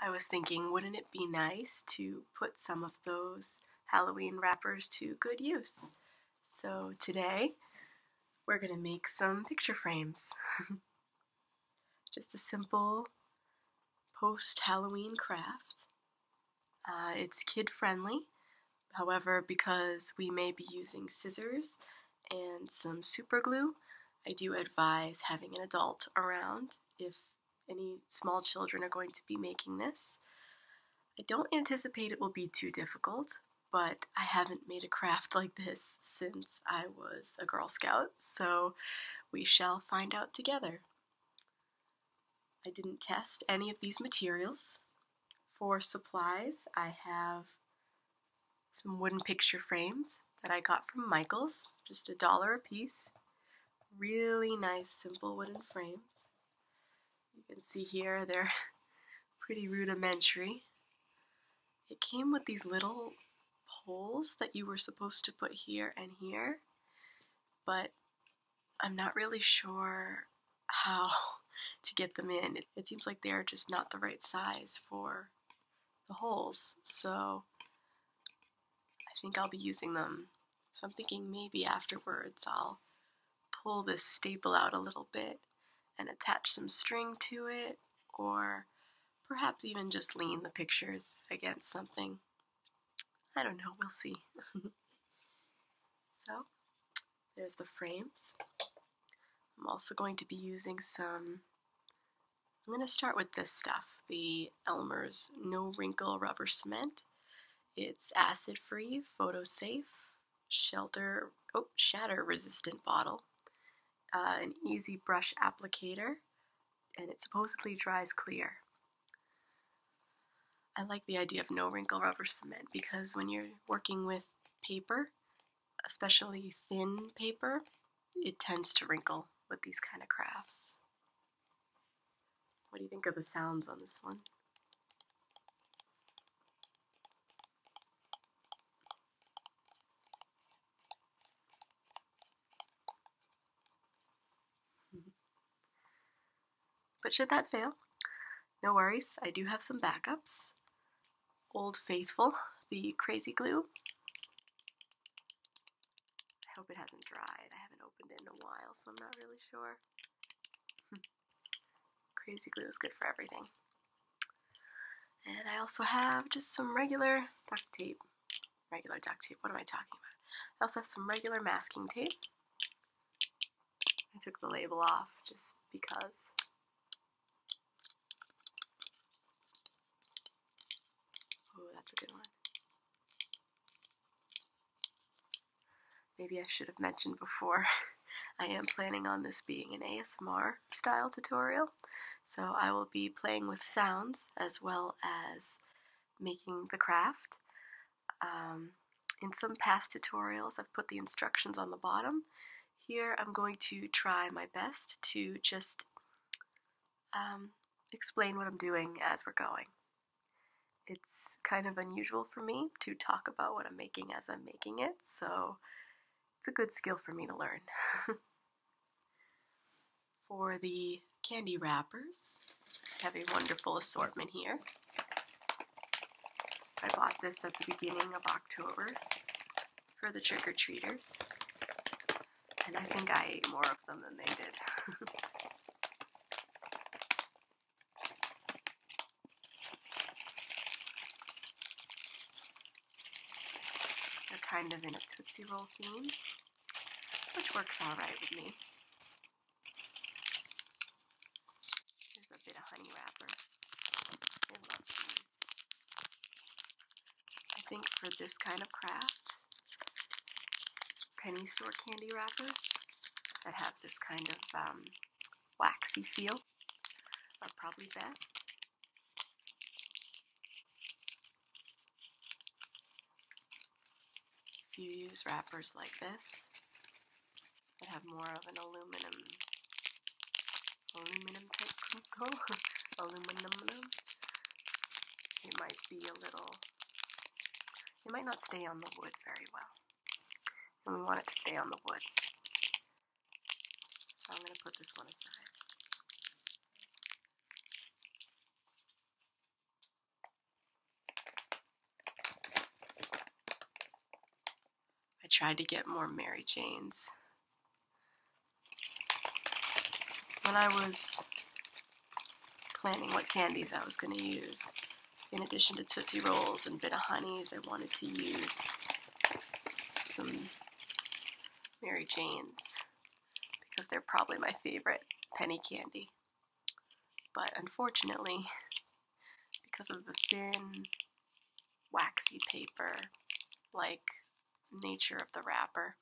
I was thinking, wouldn't it be nice to put some of those Halloween wrappers to good use? So today, we're going to make some picture frames. Just a simple post-Halloween craft. Uh, it's kid-friendly, however, because we may be using scissors and some super glue, I do advise having an adult around if any small children are going to be making this. I don't anticipate it will be too difficult, but I haven't made a craft like this since I was a Girl Scout, so we shall find out together. I didn't test any of these materials. For supplies, I have some wooden picture frames that I got from Michaels, just a dollar a piece. Really nice, simple wooden frames. You can see here they're pretty rudimentary. It came with these little holes that you were supposed to put here and here, but I'm not really sure how to get them in. It, it seems like they're just not the right size for the holes, so I think I'll be using them. So I'm thinking maybe afterwards I'll pull this staple out a little bit and attach some string to it or perhaps even just lean the pictures against something. I don't know, we'll see. so there's the frames. I'm also going to be using some I'm going to start with this stuff, the Elmer's No Wrinkle Rubber Cement. It's acid-free, photo-safe, shelter, oh, shatter-resistant bottle, uh, an easy brush applicator, and it supposedly dries clear. I like the idea of no wrinkle rubber cement because when you're working with paper, especially thin paper, it tends to wrinkle with these kind of crafts. What do you think of the sounds on this one? But should that fail, no worries, I do have some backups. Old Faithful, the crazy glue. I hope it hasn't dried. I haven't opened it in a while, so I'm not really sure. Crazy glue is good for everything. And I also have just some regular duct tape. Regular duct tape, what am I talking about? I also have some regular masking tape. I took the label off just because. Oh, that's a good one. Maybe I should have mentioned before, I am planning on this being an ASMR style tutorial. So I will be playing with sounds as well as making the craft. Um, in some past tutorials, I've put the instructions on the bottom. Here, I'm going to try my best to just um, explain what I'm doing as we're going. It's kind of unusual for me to talk about what I'm making as I'm making it, so it's a good skill for me to learn. for the candy wrappers, I have a wonderful assortment here. I bought this at the beginning of October for the trick-or-treaters. And I think I ate more of them than they did. They're kind of in a Tootsie Roll theme, which works alright with me. There's a bit of honey wrapper. I think for this kind of craft, penny store candy wrappers that have this kind of um, waxy feel are probably best. If you use wrappers like this that have more of an aluminum, aluminum type cocoa, aluminum, it might be a little, It might not stay on the wood very well. And we want it to stay on the wood. So I'm going to put this one aside. I tried to get more Mary Janes. When I was planning what candies I was going to use. In addition to Tootsie Rolls and Bit of Honeys, I wanted to use some Mary Jane's because they're probably my favorite penny candy. But unfortunately, because of the thin, waxy paper, like nature of the wrapper,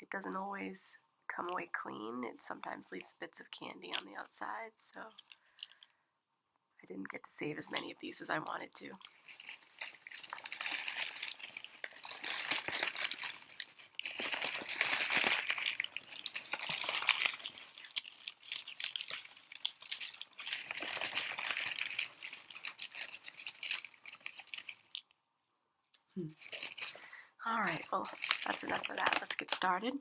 it doesn't always come away clean. It sometimes leaves bits of candy on the outside, so I didn't get to save as many of these as I wanted to. Hmm. All right, well, that's enough of that. Let's get started.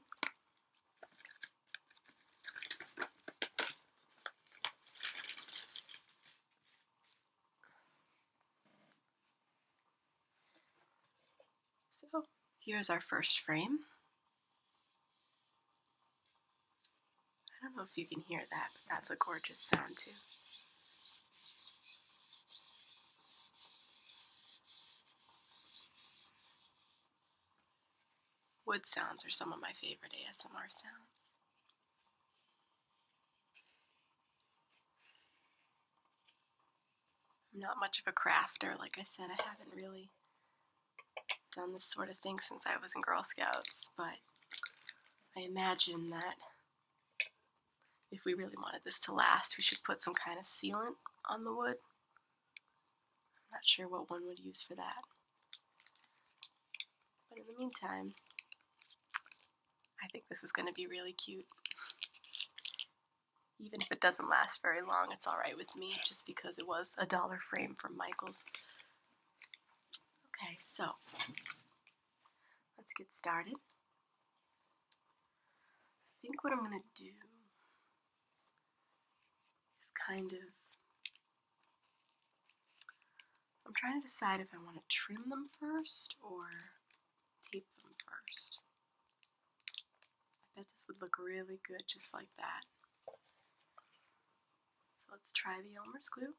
So here's our first frame. I don't know if you can hear that, but that's a gorgeous sound too. Wood sounds are some of my favorite ASMR sounds. I'm not much of a crafter. Like I said, I haven't really done this sort of thing since I was in Girl Scouts, but I imagine that if we really wanted this to last, we should put some kind of sealant on the wood. I'm not sure what one would use for that. But in the meantime, I think this is going to be really cute. Even if it doesn't last very long, it's alright with me, just because it was a dollar frame from Michaels. Okay, so let's get started. I think what I'm going to do is kind of. I'm trying to decide if I want to trim them first or tape them first. I bet this would look really good just like that. So let's try the Elmer's glue.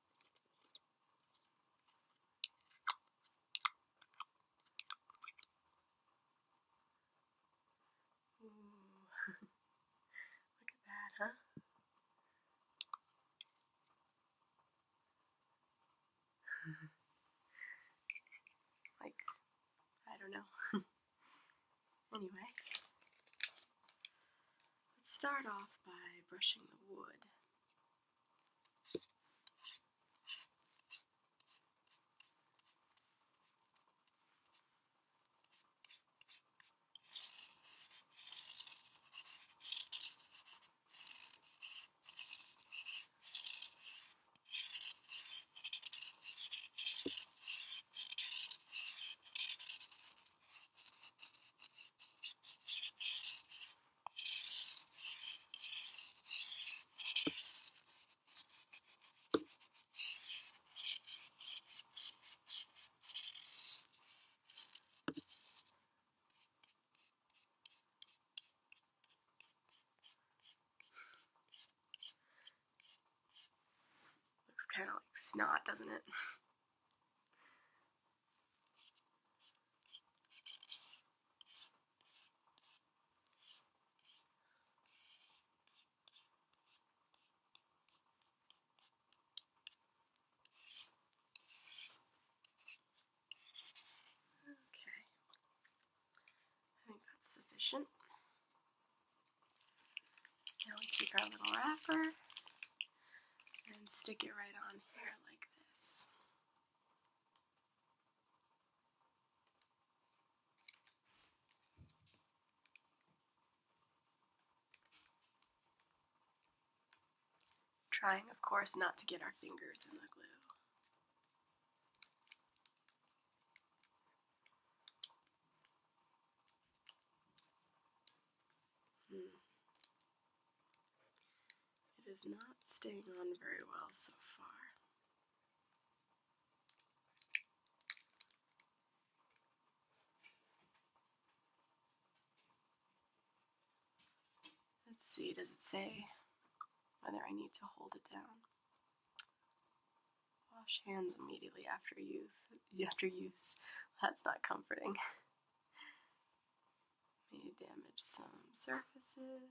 Ooh. Look at that, huh? like, I don't know. anyway, Let's start off by brushing the wood. Looks kind of like snot, doesn't it? Okay, I think that's sufficient. Now we take our little wrapper and stick it right on here like this. Trying, of course, not to get our fingers in the glue. Hmm. It is not staying on very well so far. Let's see, does it say whether I need to hold it down? Wash hands immediately after use. After use, that's not comforting. May damage some surfaces.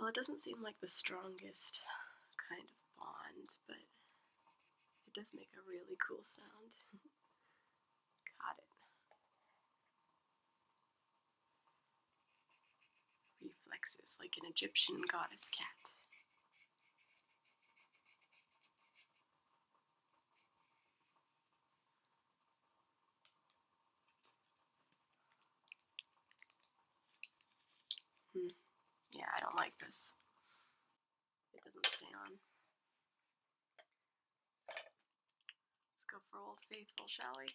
Well, it doesn't seem like the strongest kind of bond, but it does make a really cool sound. Got it. Reflexes like an Egyptian goddess cat. Hmm. Yeah, I don't like this. It doesn't stay on. Let's go for Old Faithful, shall we?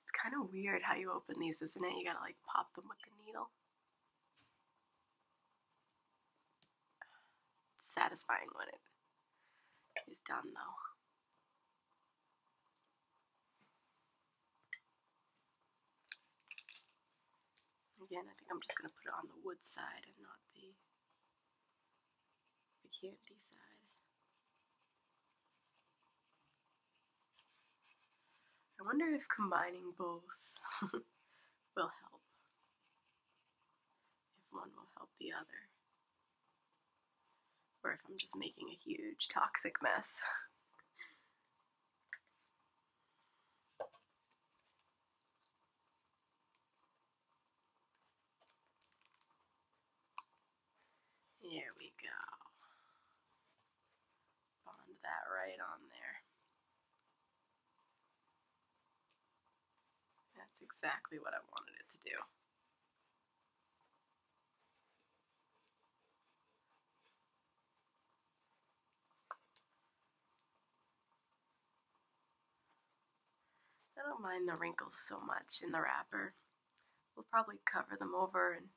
It's kind of weird how you open these, isn't it? You gotta like pop them with the needle satisfying when it is done, though. Again, I think I'm just going to put it on the wood side and not the, the candy side. I wonder if combining both will help if one will help the other. Or if I'm just making a huge toxic mess. Here we go bond that right on there. That's exactly what I wanted it to do. I don't mind the wrinkles so much in the wrapper. We'll probably cover them over and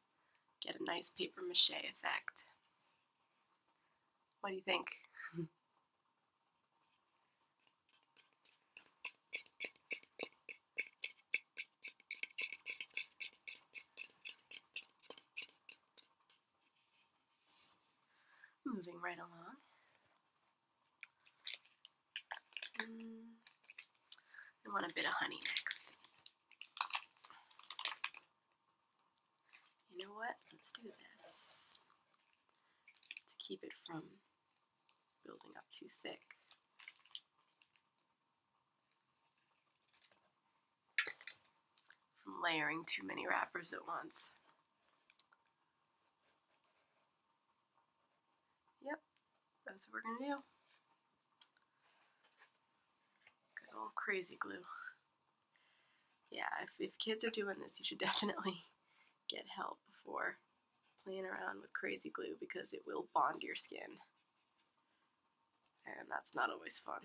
get a nice paper mache effect. What do you think? Moving right along. Mm, I want a bit of honey next. You know what? Let's do this to keep it from building up too thick. From layering too many wrappers at once. Yep, that's what we're gonna do. Good old crazy glue yeah, if, kids are doing this, you should definitely get help before playing around with crazy glue because it will bond your skin. And that's not always fun.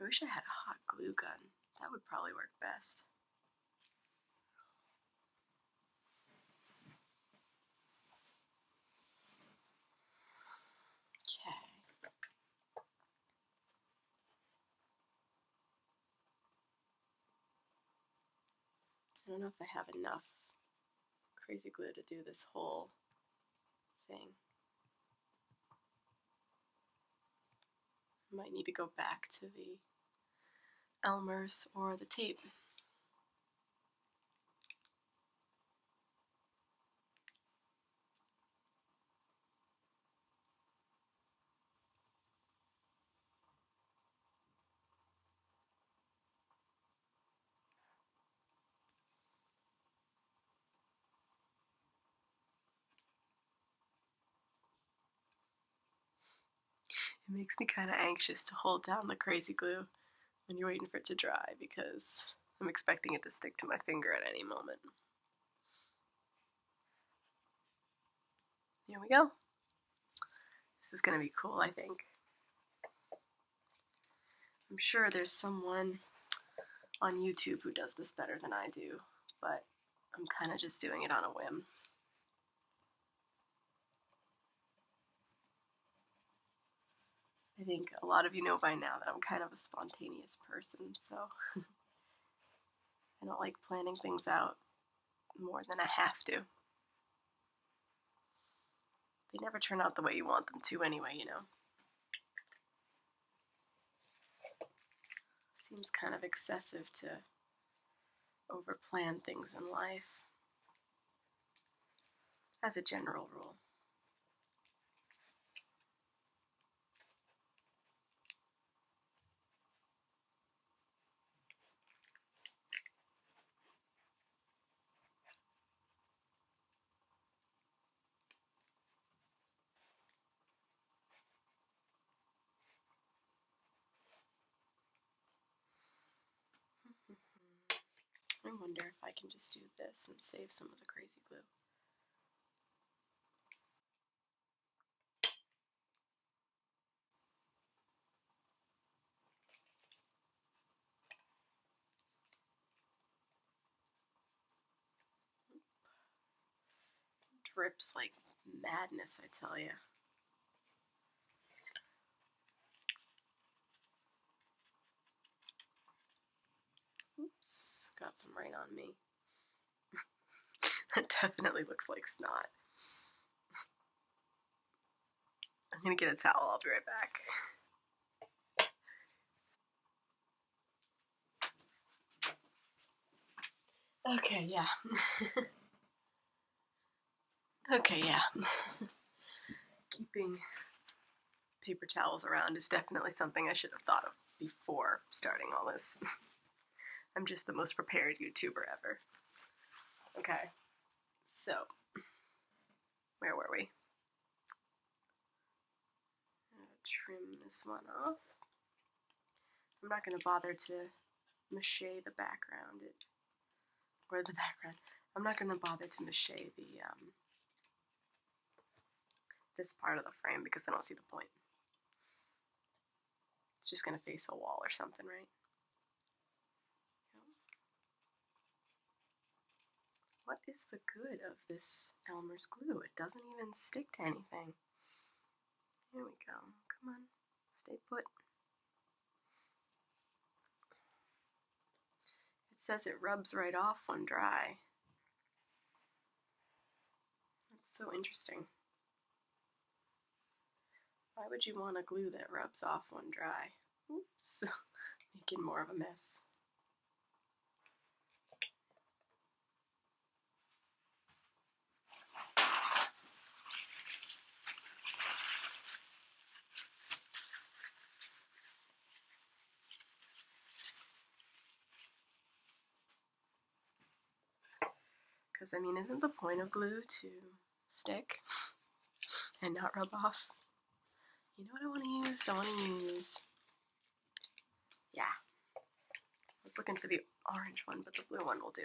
I wish I had a hot glue gun. That would probably work best. Okay. I don't know if I have enough crazy glue to do this whole thing. I might need to go back to the Elmer's or the tape. It makes me kind of anxious to hold down the crazy glue when you're waiting for it to dry because I'm expecting it to stick to my finger at any moment. There we go. This is going to be cool, I think. I'm sure there's someone on YouTube who does this better than I do, but I'm kind of just doing it on a whim. I think a lot of you know by now that I'm kind of a spontaneous person, so I don't like planning things out more than I have to. They never turn out the way you want them to, anyway, you know. Seems kind of excessive to overplan things in life as a general rule. I wonder if I can just do this and save some of the crazy glue. Drips like madness, I tell you. Oops, got some rain on me. that definitely looks like snot. I'm gonna get a towel, I'll be right back. Okay, yeah. okay, yeah. Keeping paper towels around is definitely something I should have thought of before starting all this. I'm just the most prepared YouTuber ever. Okay, so where were we? trim this one off. I'm not going to bother to mache the background, it, or the background. I'm not going to bother to mache the um, this part of the frame because I don't see the point. It's just going to face a wall or something, right? What is the good of this Elmer's glue? It doesn't even stick to anything. Here we go. Come on. Stay put. It says it rubs right off when dry. That's so interesting. Why would you want a glue that rubs off when dry? Oops, making more of a mess. Because, I mean, isn't the point of glue to stick and not rub off. You know what I want to use? I want to use, yeah. I was looking for the orange one, but the blue one will do.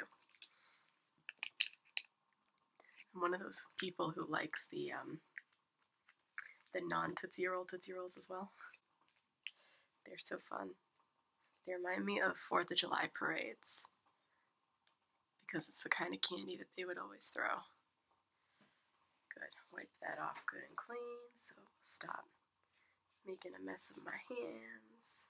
I'm one of those people who likes the um, the non Tootsie Roll Tootsie Rolls as well. They're so fun. They remind me of Fourth of July parades because it's the kind of candy that they would always throw. Good. Wipe that off good and clean. So stop making a mess of my hands.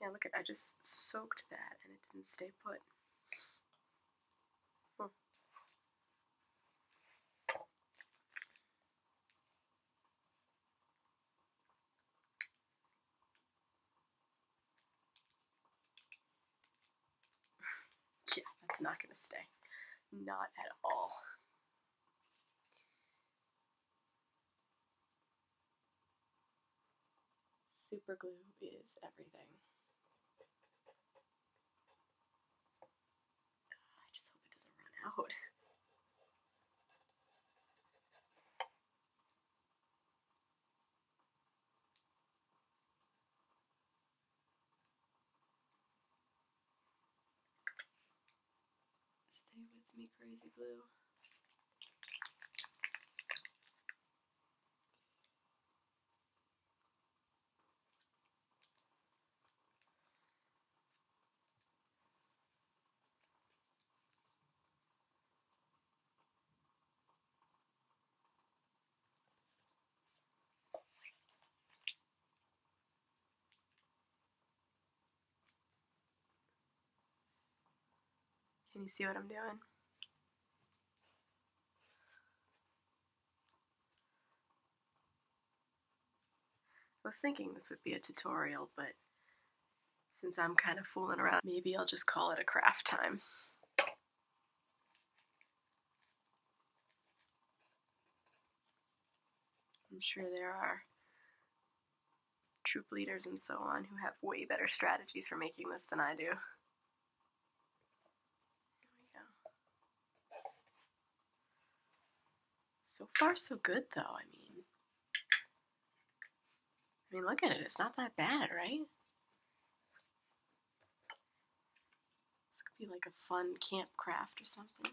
Yeah, look at I just soaked that and it didn't stay put. Hmm. yeah, that's not gonna stay. Not at all. Super glue is everything. I just hope it doesn't run out. Stay with me, crazy glue. Can you see what I'm doing? I was thinking this would be a tutorial, but since I'm kind of fooling around, maybe I'll just call it a craft time. I'm sure there are troop leaders and so on who have way better strategies for making this than I do. So far, so good, though. I mean, I mean, look at it. It's not that bad, right? This could be like a fun camp craft or something.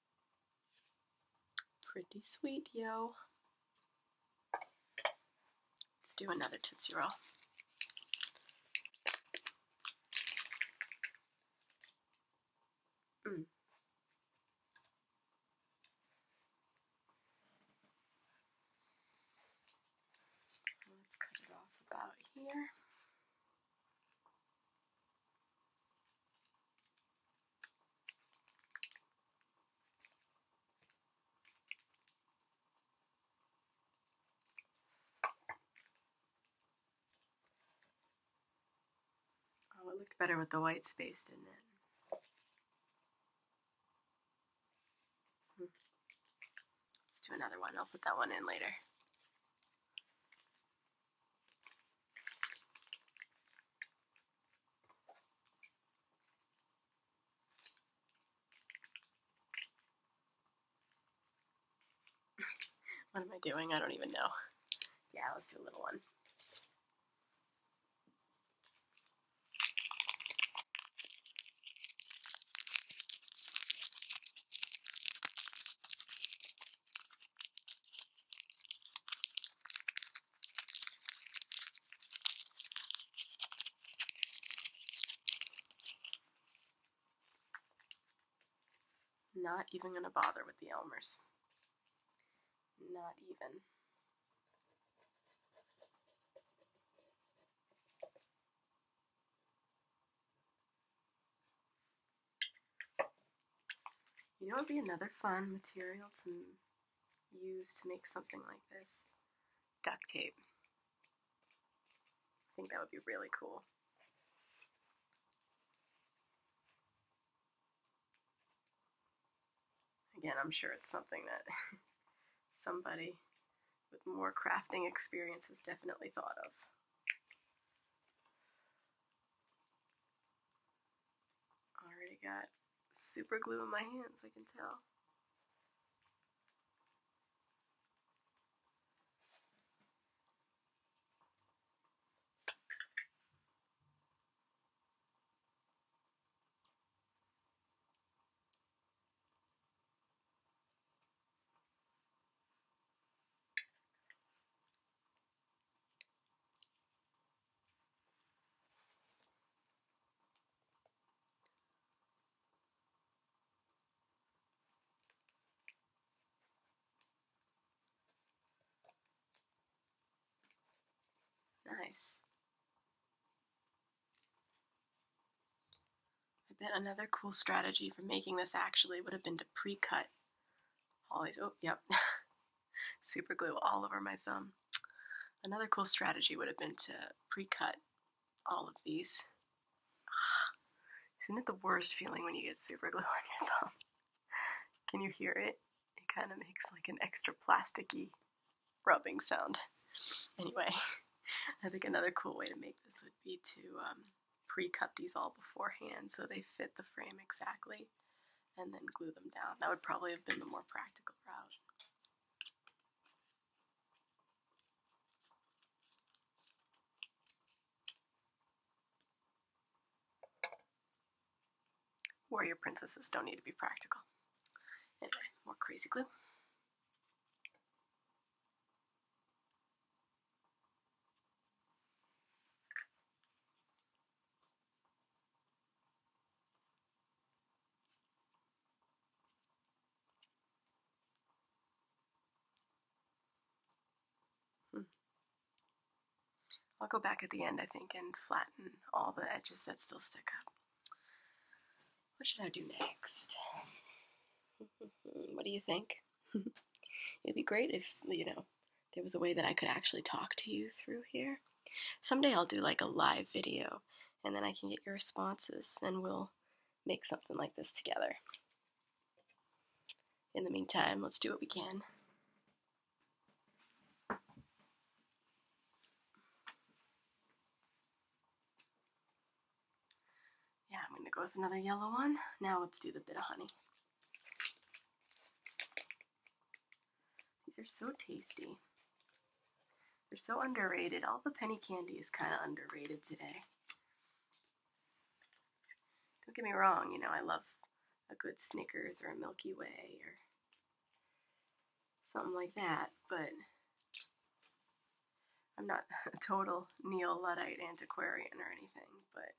Pretty sweet, yo. Let's do another Tootsie Roll. Mm. Let's cut it off about here. Oh, it looked better with the white space, in it? Hmm. Let's do another one. I'll put that one in later. what am I doing? I don't even know. Yeah, let's do a little one. Not even going to bother with the Elmers. Not even. You know, it would be another fun material to use to make something like this? Duct tape. I think that would be really cool. Again, I'm sure it's something that somebody with more crafting experience has definitely thought of. Already got super glue in my hands, I can tell. Nice. I bet another cool strategy for making this actually would have been to pre-cut all these. Oh, yep. super glue all over my thumb. Another cool strategy would have been to pre-cut all of these. Isn't it the worst feeling when you get super glue on your thumb? Can you hear it? It kind of makes like an extra plasticky rubbing sound. Anyway, I think another cool way to make this would be to um, pre-cut these all beforehand so they fit the frame exactly and then glue them down. That would probably have been the more practical route. Warrior princesses don't need to be practical. Anyway, more crazy glue. Hmm. I'll go back at the end, I think, and flatten all the edges that still stick up. What should I do next? what do you think? It'd be great if, you know, there was a way that I could actually talk to you through here. Someday I'll do like a live video and then I can get your responses and we'll make something like this together. In the meantime, let's do what we can. Yeah, I'm gonna go with another yellow one. Now let's do the bit of honey. These are so tasty. They're so underrated. All the penny candy is kind of underrated today. Don't get me wrong, you know, I love a good Snickers or a Milky Way or something like that, but I'm not a total neo-Luddite antiquarian or anything, but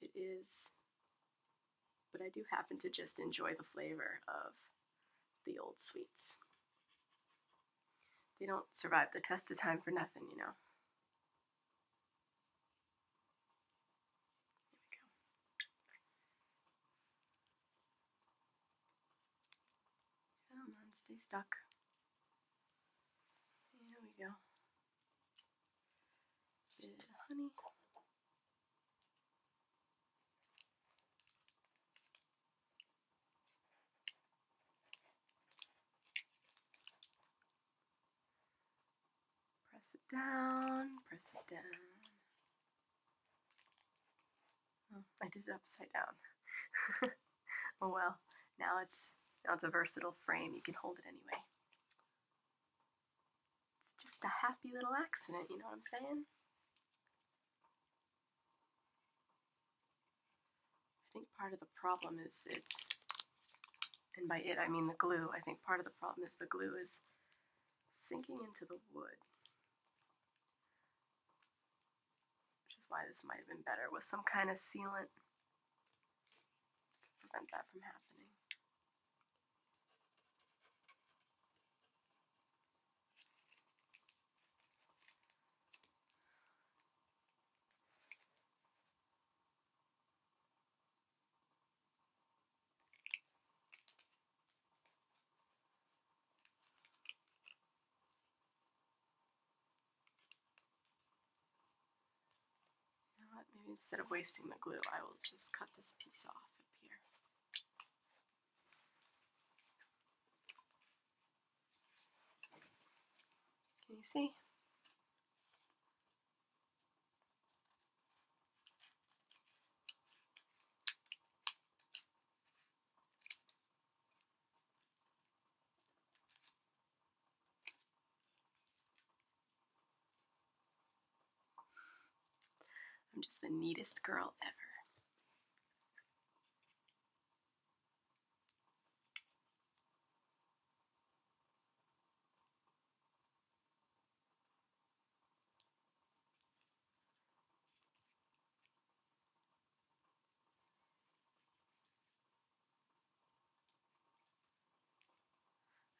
it is but I do happen to just enjoy the flavor of the old sweets. They don't survive the test of time for nothing, you know. Come on, stay stuck. There we go honey. Press it down, press it down. Oh, I did it upside down. oh well, now it's now it's a versatile frame. You can hold it anyway. It's just a happy little accident, you know what I'm saying? I think part of the problem is it's, and by it I mean the glue, I think part of the problem is the glue is sinking into the wood. Which is why this might have been better with some kind of sealant to prevent that from happening. Maybe instead of wasting the glue, I will just cut this piece off up here. Can you see? I'm just the neatest girl ever.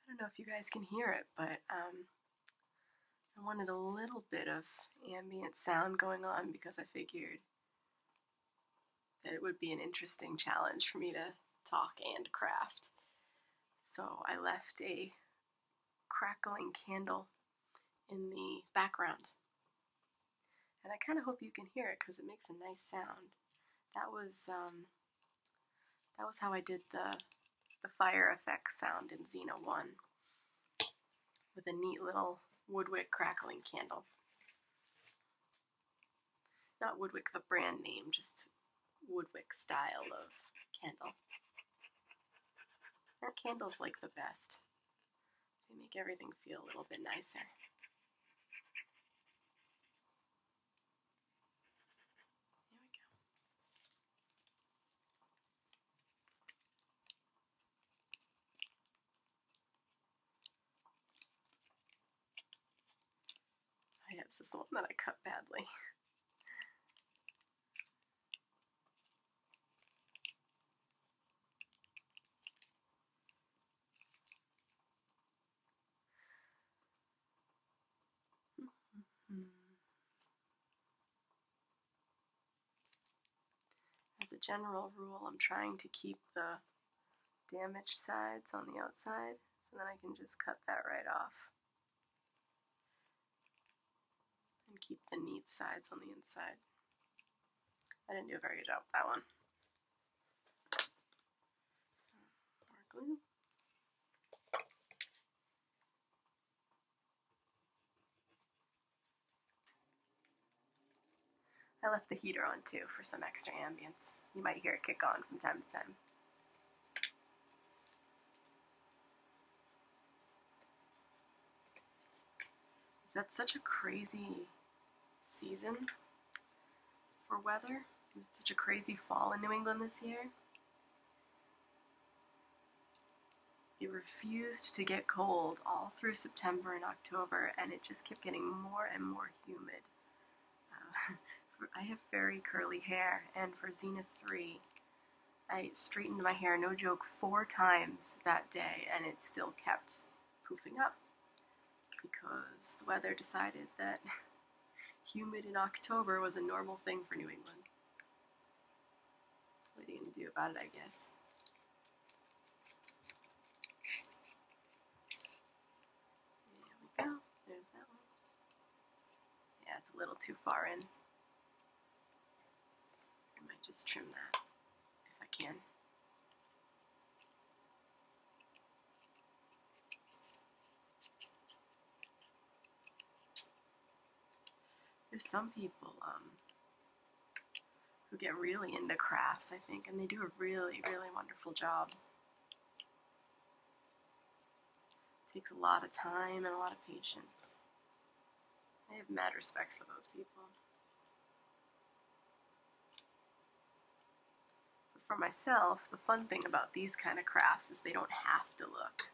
I don't know if you guys can hear it, but um, I wanted a little bit of ambient sound going on because I figured that it would be an interesting challenge for me to talk and craft. So I left a crackling candle in the background. And I kind of hope you can hear it because it makes a nice sound. That was um, that was how I did the, the fire effect sound in Xena 1 with a neat little Woodwick crackling candle. Not Woodwick the brand name, just Woodwick style of candle. Their candles like the best. They make everything feel a little bit nicer. Here we go. Oh yeah, this is the one that I cut badly. Mm-hmm. As a general rule, I'm trying to keep the damaged sides on the outside so then I can just cut that right off and keep the neat sides on the inside. I didn't do a very good job with that one. I left the heater on too for some extra ambience. You might hear it kick on from time to time. That's such a crazy season for weather. It's such a crazy fall in New England this year. It refused to get cold all through September and October, and it just kept getting more and more humid. Uh, I have very curly hair, and for Xena 3, I straightened my hair, no joke, four times that day, and it still kept poofing up because the weather decided that Humid in October was a normal thing for New England. What are you going to do about it, I guess? There we go. There's that one. Yeah, it's a little too far in. I might just trim that if I can. There's some people um, who get really into crafts, I think, and they do a really, really wonderful job. takes a lot of time and a lot of patience. I have mad respect for those people for myself, the fun thing about these kind of crafts is they don't have to look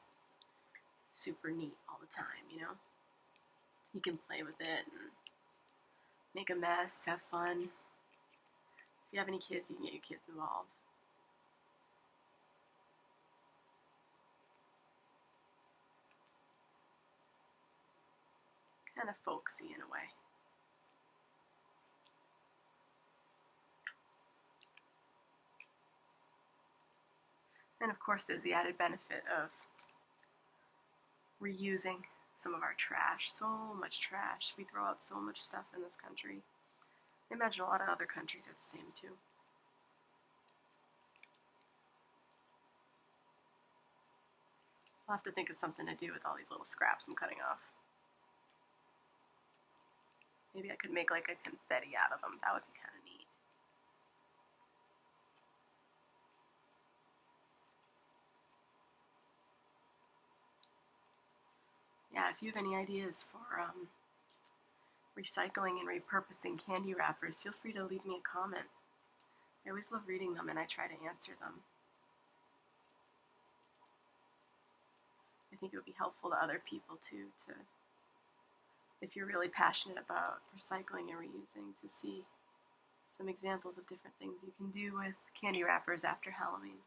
super neat all the time, you know? You can play with it and make a mess, have fun. If you have any kids, you can get your kids involved. Kind of folksy in a way. And of course, there's the added benefit of reusing some of our trash. So much trash. We throw out so much stuff in this country. I imagine a lot of other countries are the same too. I'll have to think of something to do with all these little scraps I'm cutting off. Maybe I could make like a confetti out of them. That would be kind of neat. Yeah, if you have any ideas for um, recycling and repurposing candy wrappers, feel free to leave me a comment. I always love reading them and I try to answer them. I think it would be helpful to other people too to if you're really passionate about recycling and reusing to see some examples of different things you can do with candy wrappers after Halloween.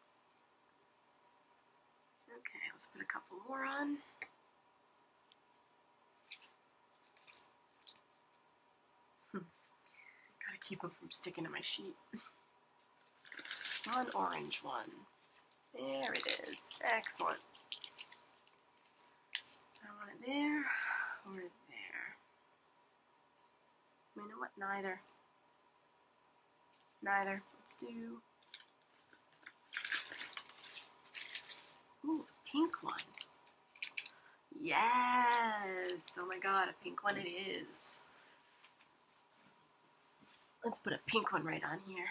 Okay, let's put a couple more on. Hmm. Gotta keep them from sticking to my sheet. saw an orange one. There it is. Excellent. I want it there or there. You know what? Neither. Neither. Let's do. Ooh, pink one. Yes! Oh my god, a pink one it is. Let's put a pink one right on here.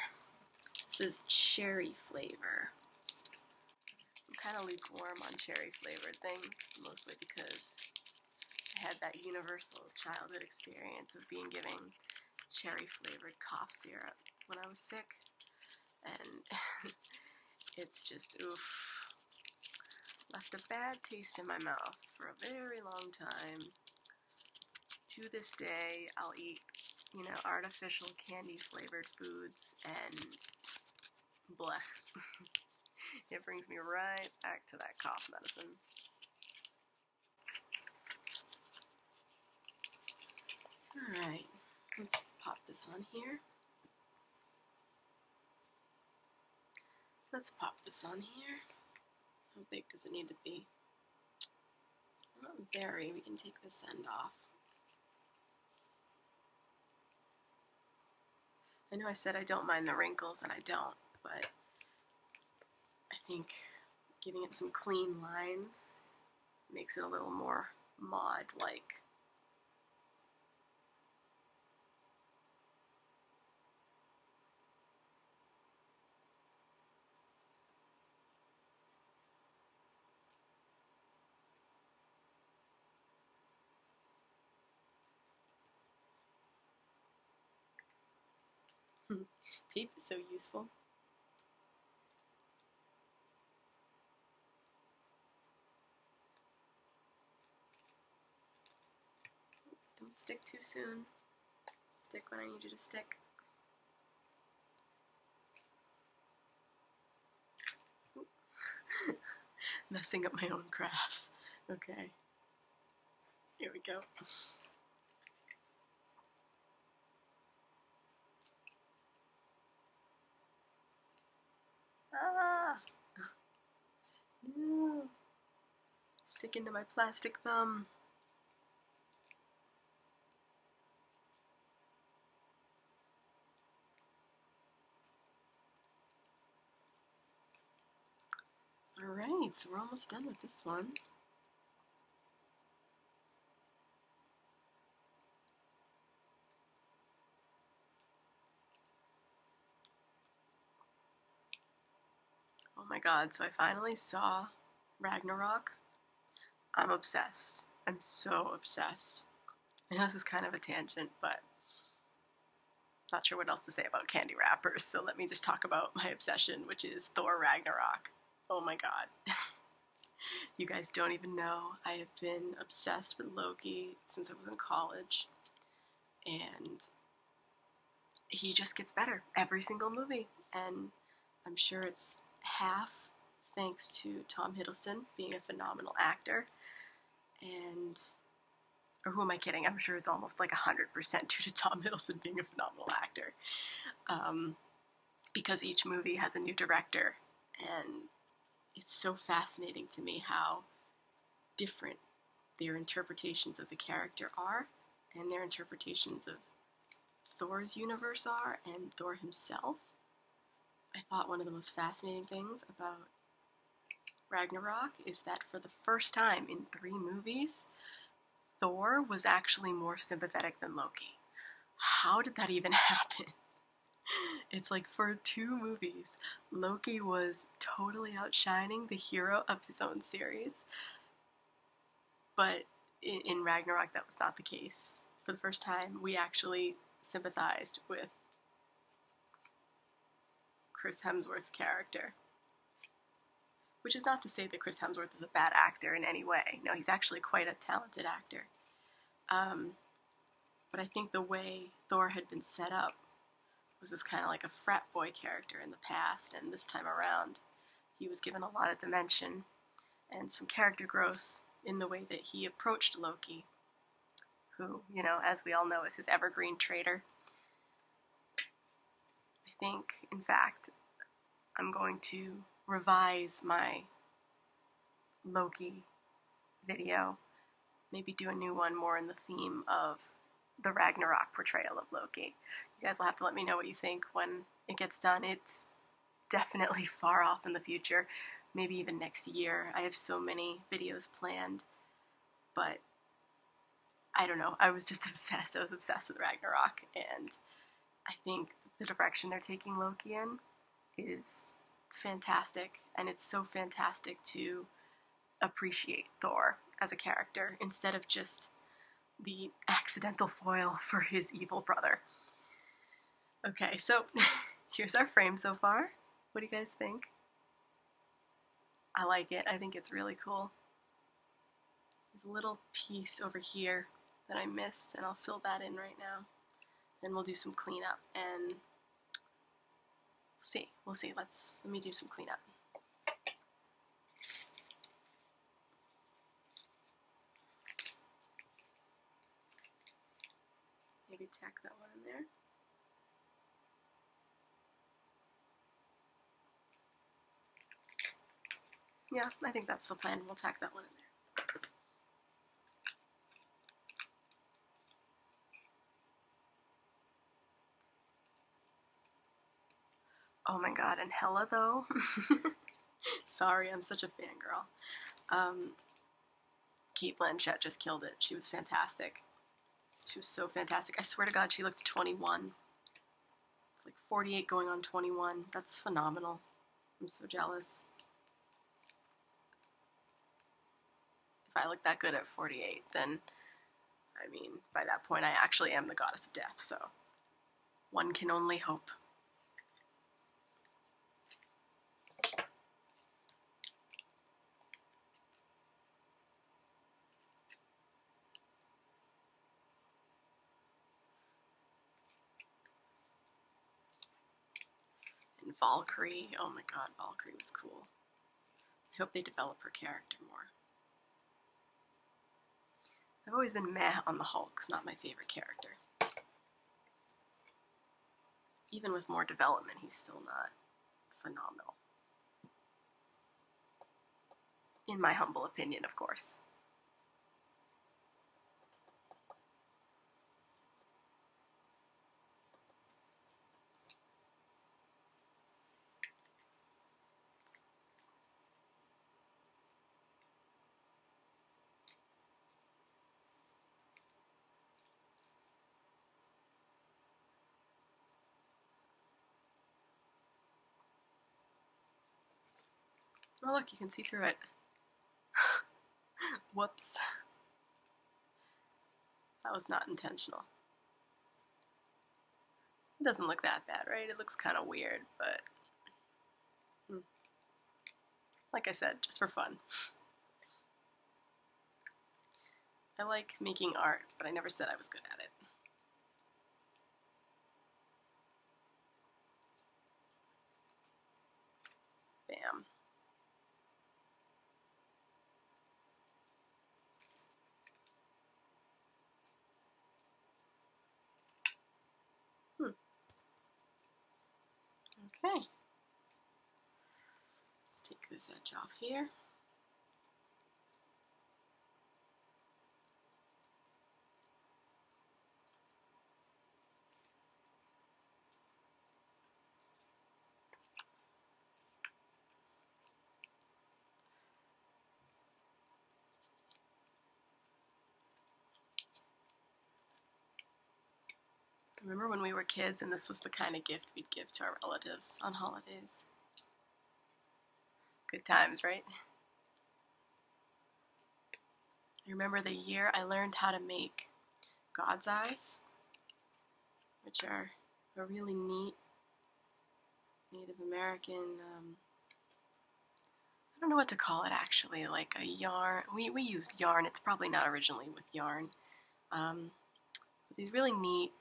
This is cherry flavor. I'm kind of lukewarm on cherry flavored things, mostly because I had that universal childhood experience of being given cherry flavored cough syrup when I was sick. And it's just oof. Left a bad taste in my mouth for a very long time to this day, I'll eat, you know, artificial candy flavored foods and blech! it brings me right back to that cough medicine. Alright, let's pop this on here. Let's pop this on here. How big does it need to be? Not oh, very. We can take this end off. I know I said I don't mind the wrinkles, and I don't, but I think giving it some clean lines makes it a little more mod-like. Hmm. Tape is so useful. Don't stick too soon. Stick when I need you to stick. Messing up my own crafts. Okay. Here we go. Ah! No! Stick into my plastic thumb. Alright, so we're almost done with this one. Oh my god, so I finally saw Ragnarok. I'm obsessed. I'm so obsessed. I know this is kind of a tangent, but not sure what else to say about candy wrappers, so let me just talk about my obsession, which is Thor Ragnarok. Oh my god. you guys don't even know. I have been obsessed with Loki since I was in college, and he just gets better every single movie. And I'm sure it's half thanks to Tom Hiddleston being a phenomenal actor. And, or who am I kidding? I'm sure it's almost like 100% due to Tom Hiddleston being a phenomenal actor. Um, because each movie has a new director, and it's so fascinating to me how different their interpretations of the character are and their interpretations of Thor's universe are and Thor himself. I thought one of the most fascinating things about Ragnarok is that for the first time in three movies, Thor was actually more sympathetic than Loki. How did that even happen? It's like for two movies, Loki was totally outshining the hero of his own series. But in, Ragnarok, that was not the case. For the first time, we actually sympathized with Chris Hemsworth's character. Which is not to say that Chris Hemsworth is a bad actor in any way. No, he's actually quite a talented actor. Um, but I think the way Thor had been set up was this kind of like a frat boy character in the past, and this time around, he was given a lot of dimension and some character growth in the way that he approached Loki, who, you know, as we all know, is his evergreen traitor. I think, in fact, I'm going to revise my Loki video, maybe do a new one more in the theme of the Ragnarok portrayal of Loki. You guys will have to let me know what you think when it gets done. It's definitely far off in the future, maybe even next year. I have so many videos planned, but I don't know. I was just obsessed. I was obsessed with Ragnarok, and I think the direction they're taking Loki in is fantastic, and it's so fantastic to appreciate Thor as a character instead of just the accidental foil for his evil brother. Okay, so here's our frame so far. What do you guys think? I like it. I think it's really cool. There's a little piece over here that I missed, and I'll fill that in right now. Then we'll do some cleanup and see. We'll see. Let's let me do some cleanup. Maybe tack that one in there. Yeah, I think that's the plan. We'll tack that one in there. Oh my god, and Hella though? Sorry, I'm such a fangirl. Um, Kate Blanchett just killed it. She was fantastic. She was so fantastic. I swear to god, she looked 21. It's like 48 going on 21. That's phenomenal. I'm so jealous. If I look that good at 48, then I mean, by that point, I actually am the goddess of death, so one can only hope. And Valkyrie, oh my god, Valkyrie was cool. I hope they develop her character more. I've always been meh on the Hulk, not my favorite character. Even with more development, he's still not phenomenal. In my humble opinion, of course. Oh look, you can see through it. Whoops. That was not intentional. It doesn't look that bad, right? It looks kind of weird, but Mm. Like I said, just for fun. I like making art, but I never said I was good at it. Bam. Hmm. Okay. Let's take this edge off here. Remember when we were kids and this was the kind of gift we'd give to our relatives on holidays? Good times, right? I remember the year I learned how to make God's Eyes, which are a really neat Native American um, I don't know what to call it actually, like a yarn. We, we used yarn, it's probably not originally with yarn. Um, these really neat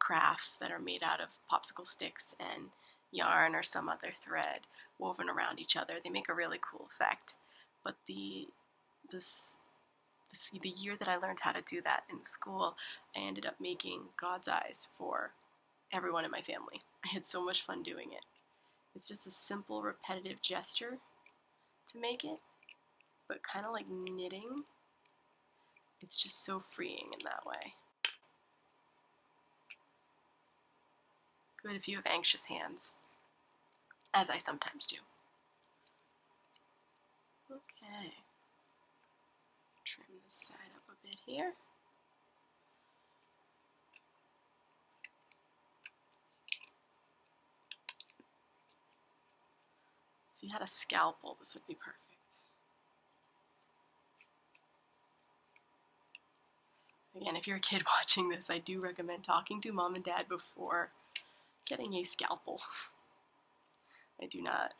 crafts that are made out of popsicle sticks and yarn or some other thread woven around each other. They make a really cool effect. But the this the year that I learned how to do that in school, I ended up making God's eyes for everyone in my family. I had so much fun doing it. It's just a simple, repetitive gesture to make it, but kind of like knitting. It's just so freeing in that way. Good if you have anxious hands, as I sometimes do. Okay. Trim this side up a bit here. If you had a scalpel, this would be perfect. Again, if you're a kid watching this, I do recommend talking to mom and dad before getting a scalpel. I do not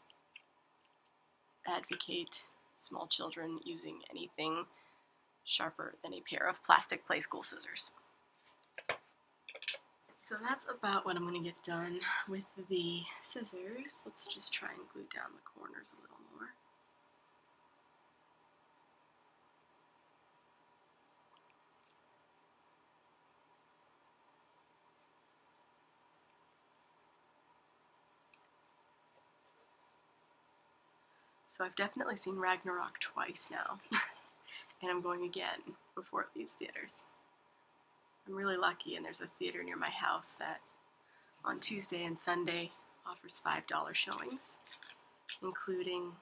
advocate small children using anything sharper than a pair of plastic play school scissors. So that's about what I'm going to get done with the scissors. Let's just try and glue down the corners a little more. So I've definitely seen Ragnarok twice now, and I'm going again before it leaves theaters. I'm really lucky, and there's a theater near my house that on Tuesday and Sunday offers $5 showings, including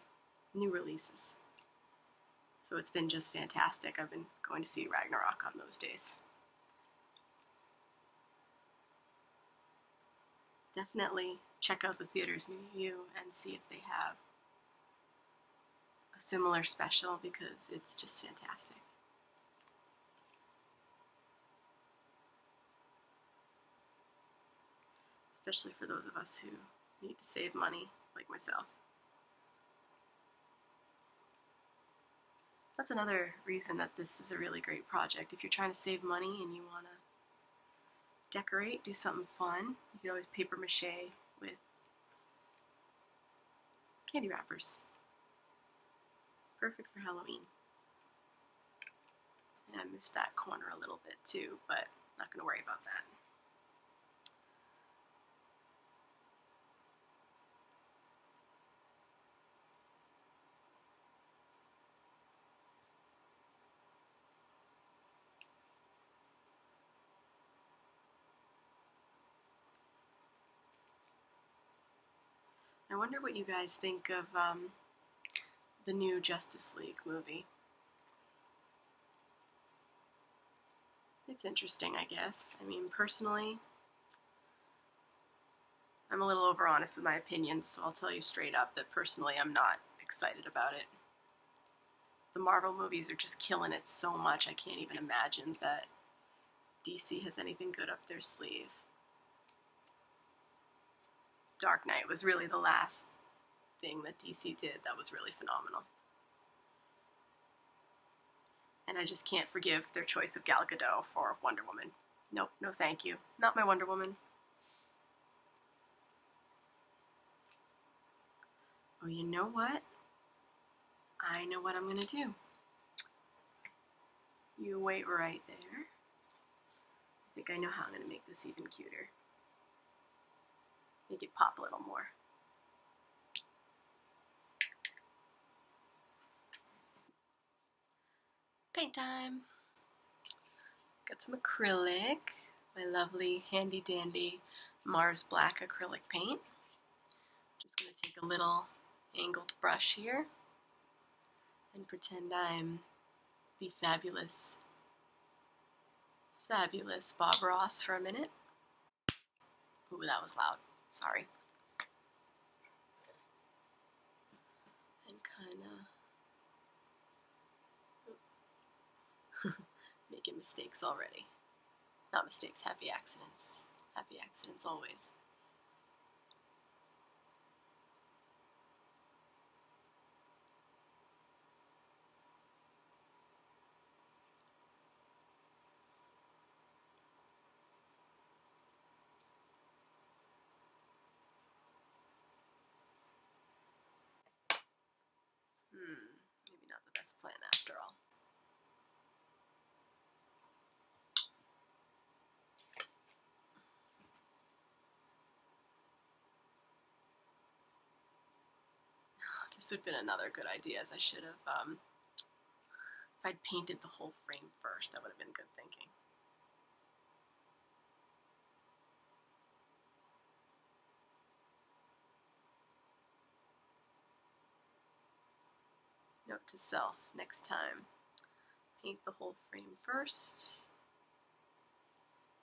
new releases. So it's been just fantastic. I've been going to see Ragnarok on those days definitely check out the theaters new you and see if they have a similar special because it's just fantastic. Especially for those of us who need to save money, like myself. That's another reason that this is a really great project. If you're trying to save money and you want to decorate, do something fun. You can always paper mache with candy wrappers. Perfect for Halloween. And I missed that corner a little bit too, but not going to worry about that. I wonder what you guys think of um, the new Justice League movie. It's interesting, I guess. I mean, personally, I'm a little overhonest with my opinions, so I'll tell you straight up that personally I'm not excited about it. The Marvel movies are just killing it so much, I can't even imagine that DC has anything good up their sleeve. Dark Knight was really the last thing that DC did that was really phenomenal. And I just can't forgive their choice of Gal Gadot for Wonder Woman. No, no thank you. Not my Wonder Woman. Oh, you know what? I know what I'm going to do. You wait right there. I think I know how I'm going to make this even cuter. Make it pop a little more. Paint time! Got some acrylic, my lovely handy dandy Mars Black acrylic paint. Just gonna take a little angled brush here and pretend I'm the fabulous, fabulous Bob Ross for a minute. Ooh, that was loud. Sorry and kind of making mistakes already. Not mistakes, happy accidents. Happy accidents always. Hmm, maybe not the best plan after all. this would have been another good idea as I should have um, if I'd painted the whole frame first that would have been good thinking Note to self next time. Paint the whole frame first.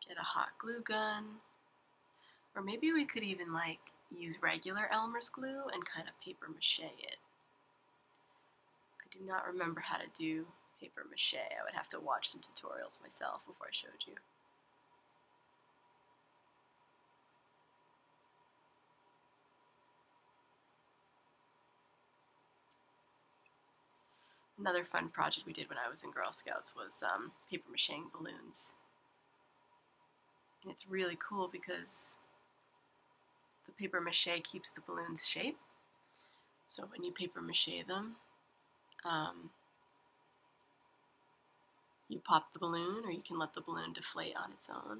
Get a hot glue gun. Or maybe we could even like use regular Elmer's glue and kind of paper mache it. I do not remember how to do paper mache. I would have to watch some tutorials myself before I showed you. Another fun project we did when I was in Girl Scouts was um, paper mache balloons. And it's really cool because the paper mache keeps the balloon's shape. So when you paper mache them, um, you pop the balloon or you can let the balloon deflate on its own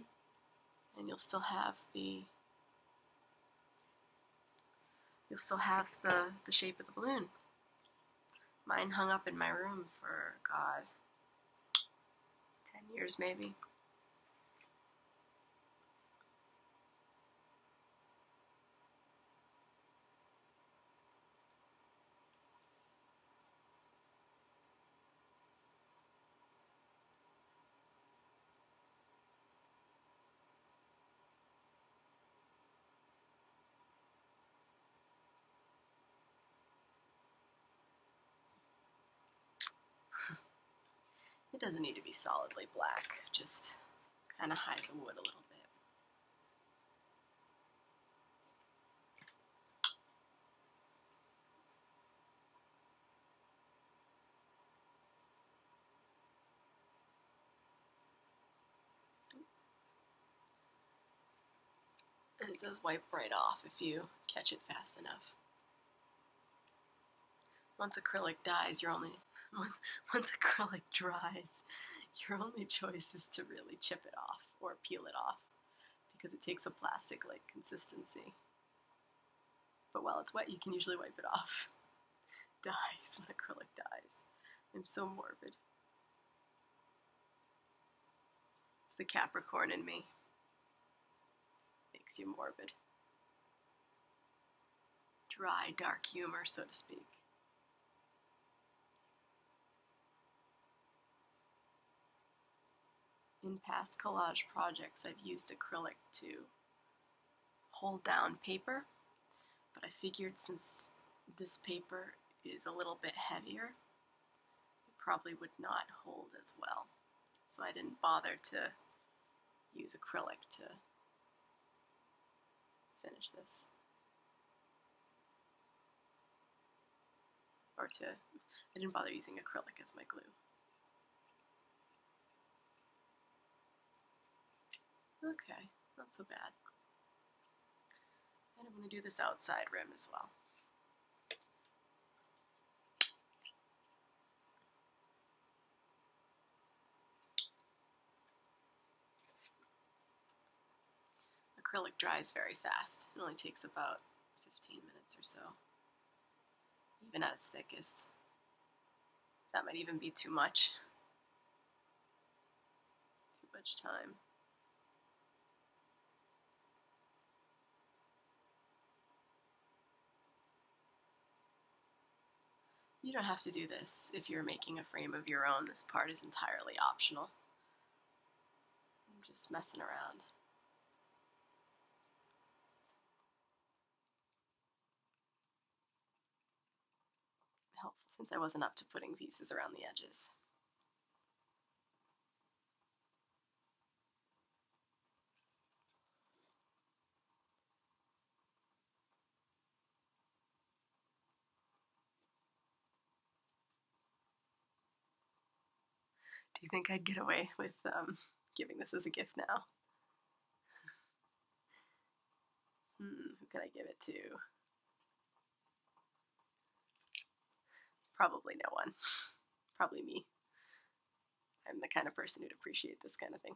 and you'll still have the you'll still have the, the shape of the balloon. Mine hung up in my room for, God, 10 years maybe. It doesn't need to be solidly black, just kind of hide the wood a little bit. And it does wipe right off if you catch it fast enough. Once acrylic dies, your only once, once acrylic dries, your only choice is to really chip it off or peel it off because it takes a plastic-like consistency. But while it's wet, you can usually wipe it off. Dies when acrylic dies. I'm so morbid. It's the Capricorn in me. Makes you morbid dry, dark humor, so to speak. In past collage projects, I've used acrylic to hold down paper, but I figured since this paper is a little bit heavier, it probably would not hold as well. So I didn't bother to use acrylic to finish this. Or to, I didn't bother using acrylic as my glue. Okay, not so bad. And I'm going to do this outside rim as well. Acrylic dries very fast. It only takes about 15 minutes or so, even at its thickest. That might even be too much. Too much time. You don't have to do this if you're making a frame of your own. This part is entirely optional. I'm just messing around. Helpful since I wasn't up to putting pieces around the edges. Do you think I'd get away with um, giving this as a gift now? Hmm, who could I give it to? Probably no one. Probably me. I'm the kind of person who'd appreciate this kind of thing.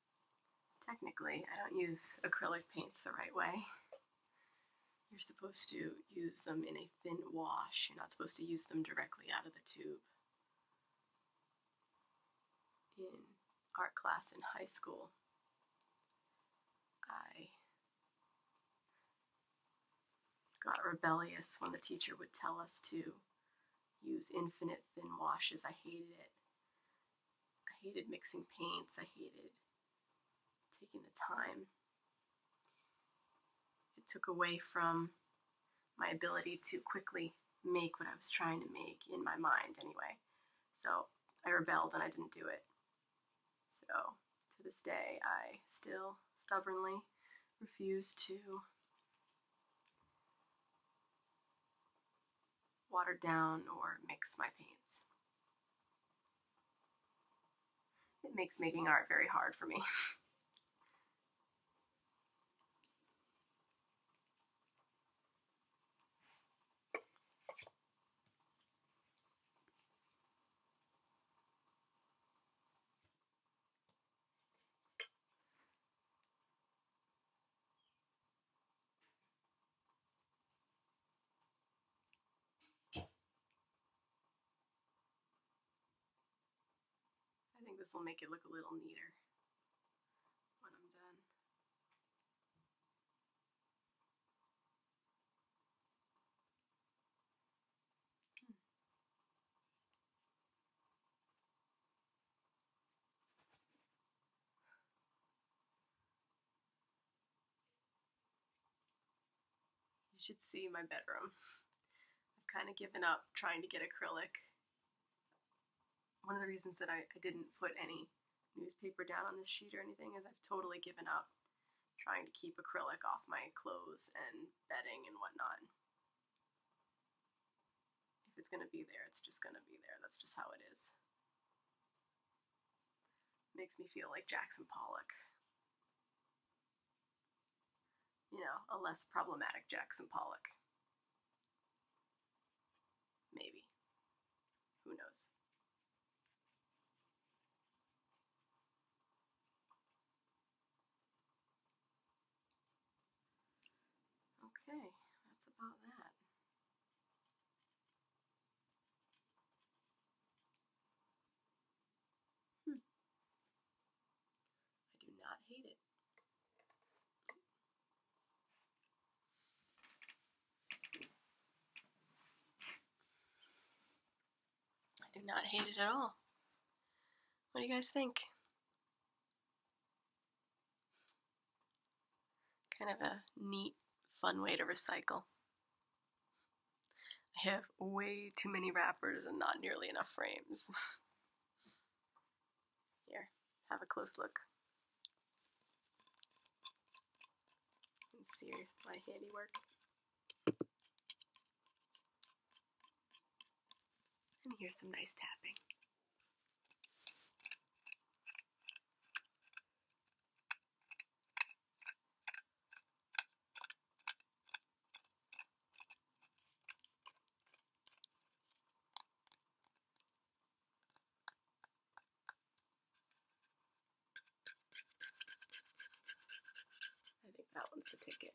technically, I don't use acrylic paints the right way. You're supposed to use them in a thin wash. You're not supposed to use them directly out of the tube. In art class in high school, I got rebellious when the teacher would tell us to use infinite thin washes. I hated it. I hated mixing paints. I hated taking the time. It took away from my ability to quickly make what I was trying to make in my mind, anyway. So I rebelled and I didn't do it. So to this day, I still stubbornly refuse to water down or mix my paints. It makes making art very hard for me. I think this will make it look a little neater when I'm done. You should see my bedroom. I've kind of given up trying to get acrylic. One of the reasons that I, didn't put any newspaper down on this sheet or anything is I've totally given up trying to keep acrylic off my clothes and bedding and whatnot. If it's going to be there, it's just going to be there. That's just how it is. Makes me feel like Jackson Pollock. You know, a less problematic Jackson Pollock. Maybe. Who knows? Okay, that's about that. Hmm. I do not hate it. I do not hate it at all. What do you guys think? Kind of a neat, fun way to recycle. I have way too many wrappers and not nearly enough frames. Here, have a close look. And see my handiwork. And here's some nice tapping. I think that one's the ticket.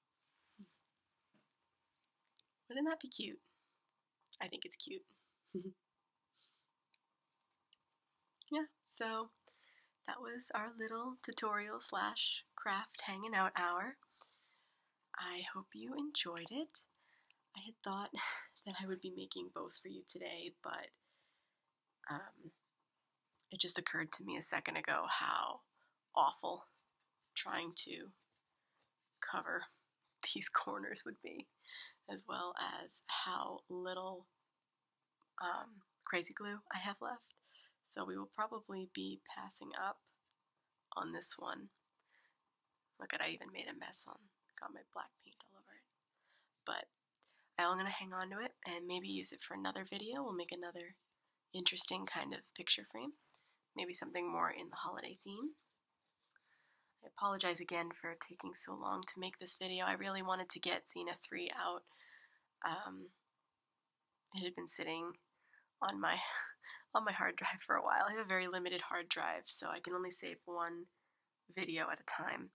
Wouldn't that be cute? I think it's cute. yeah, so that was our little tutorial slash craft hanging out hour. I hope you enjoyed it. I had thought that I would be making both for you today, but um, it just occurred to me a second ago how awful trying to cover these corners would be, as well as how little um, crazy glue I have left. So we will probably be passing up on this one. Look at I even made a mess on got my black paint all over it. But I'm gonna hang on to it and maybe use it for another video. We'll make another interesting kind of picture frame, maybe something more in the holiday theme. I apologize again for taking so long to make this video. I really wanted to get Xena 3 out. Um, it had been sitting on my on my hard drive for a while. I have a very limited hard drive, so I can only save one video at a time.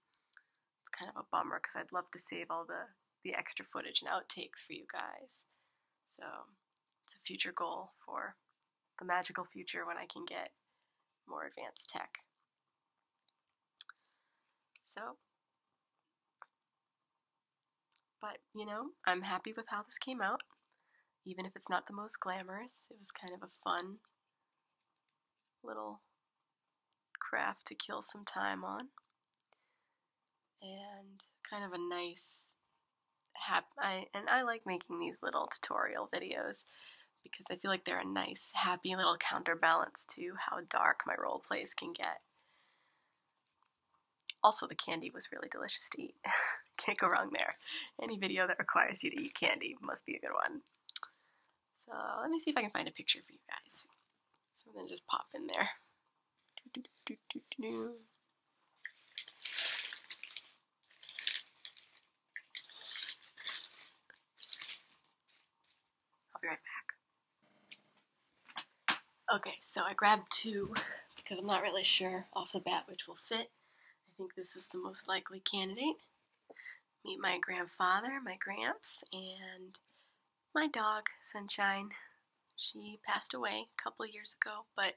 It's kind of a bummer because I'd love to save all the the extra footage and outtakes for you guys. So it's a future goal for the magical future when I can get more advanced tech. So, but you know, I'm happy with how this came out. Even if it's not the most glamorous, it was kind of a fun little craft to kill some time on and kind of a nice happy. I, and I like making these little tutorial videos because I feel like they're a nice happy little counterbalance to how dark my role plays can get. Also the candy was really delicious to eat. Can't go wrong there. Any video that requires you to eat candy must be a good one. So let me see if I can find a picture for you guys. So then, just pop in there. I'll be right back. Okay, so I grabbed two because I'm not really sure off the bat which will fit. I think this is the most likely candidate. Meet my grandfather, my gramps, and my dog, Sunshine. She passed away a couple years ago, but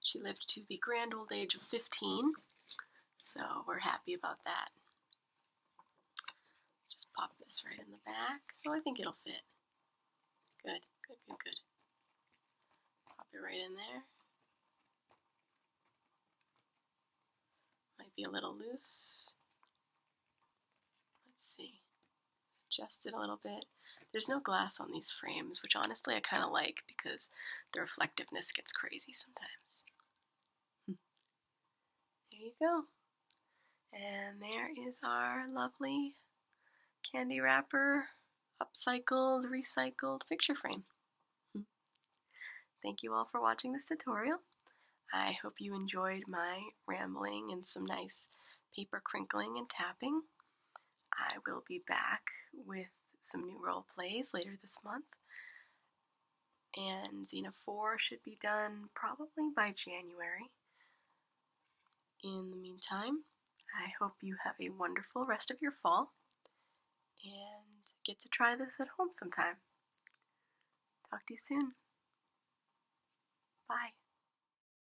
she lived to the grand old age of 15, so we're happy about that. Just pop this right in the back. Oh, I think it'll fit. Good, good, good, good. Pop it right in there. Might be a little loose. Let's see adjust it a little bit. There's no glass on these frames, which honestly I kind of like because the reflectiveness gets crazy sometimes. There you go. And there is our lovely candy wrapper, upcycled, recycled picture frame. Thank you all for watching this tutorial. I hope you enjoyed my rambling and some nice paper crinkling and tapping. I will be back with some new role plays later this month. And Xena 4 should be done probably by January. In the meantime, I hope you have a wonderful rest of your fall and get to try this at home sometime. Talk to you soon. Bye.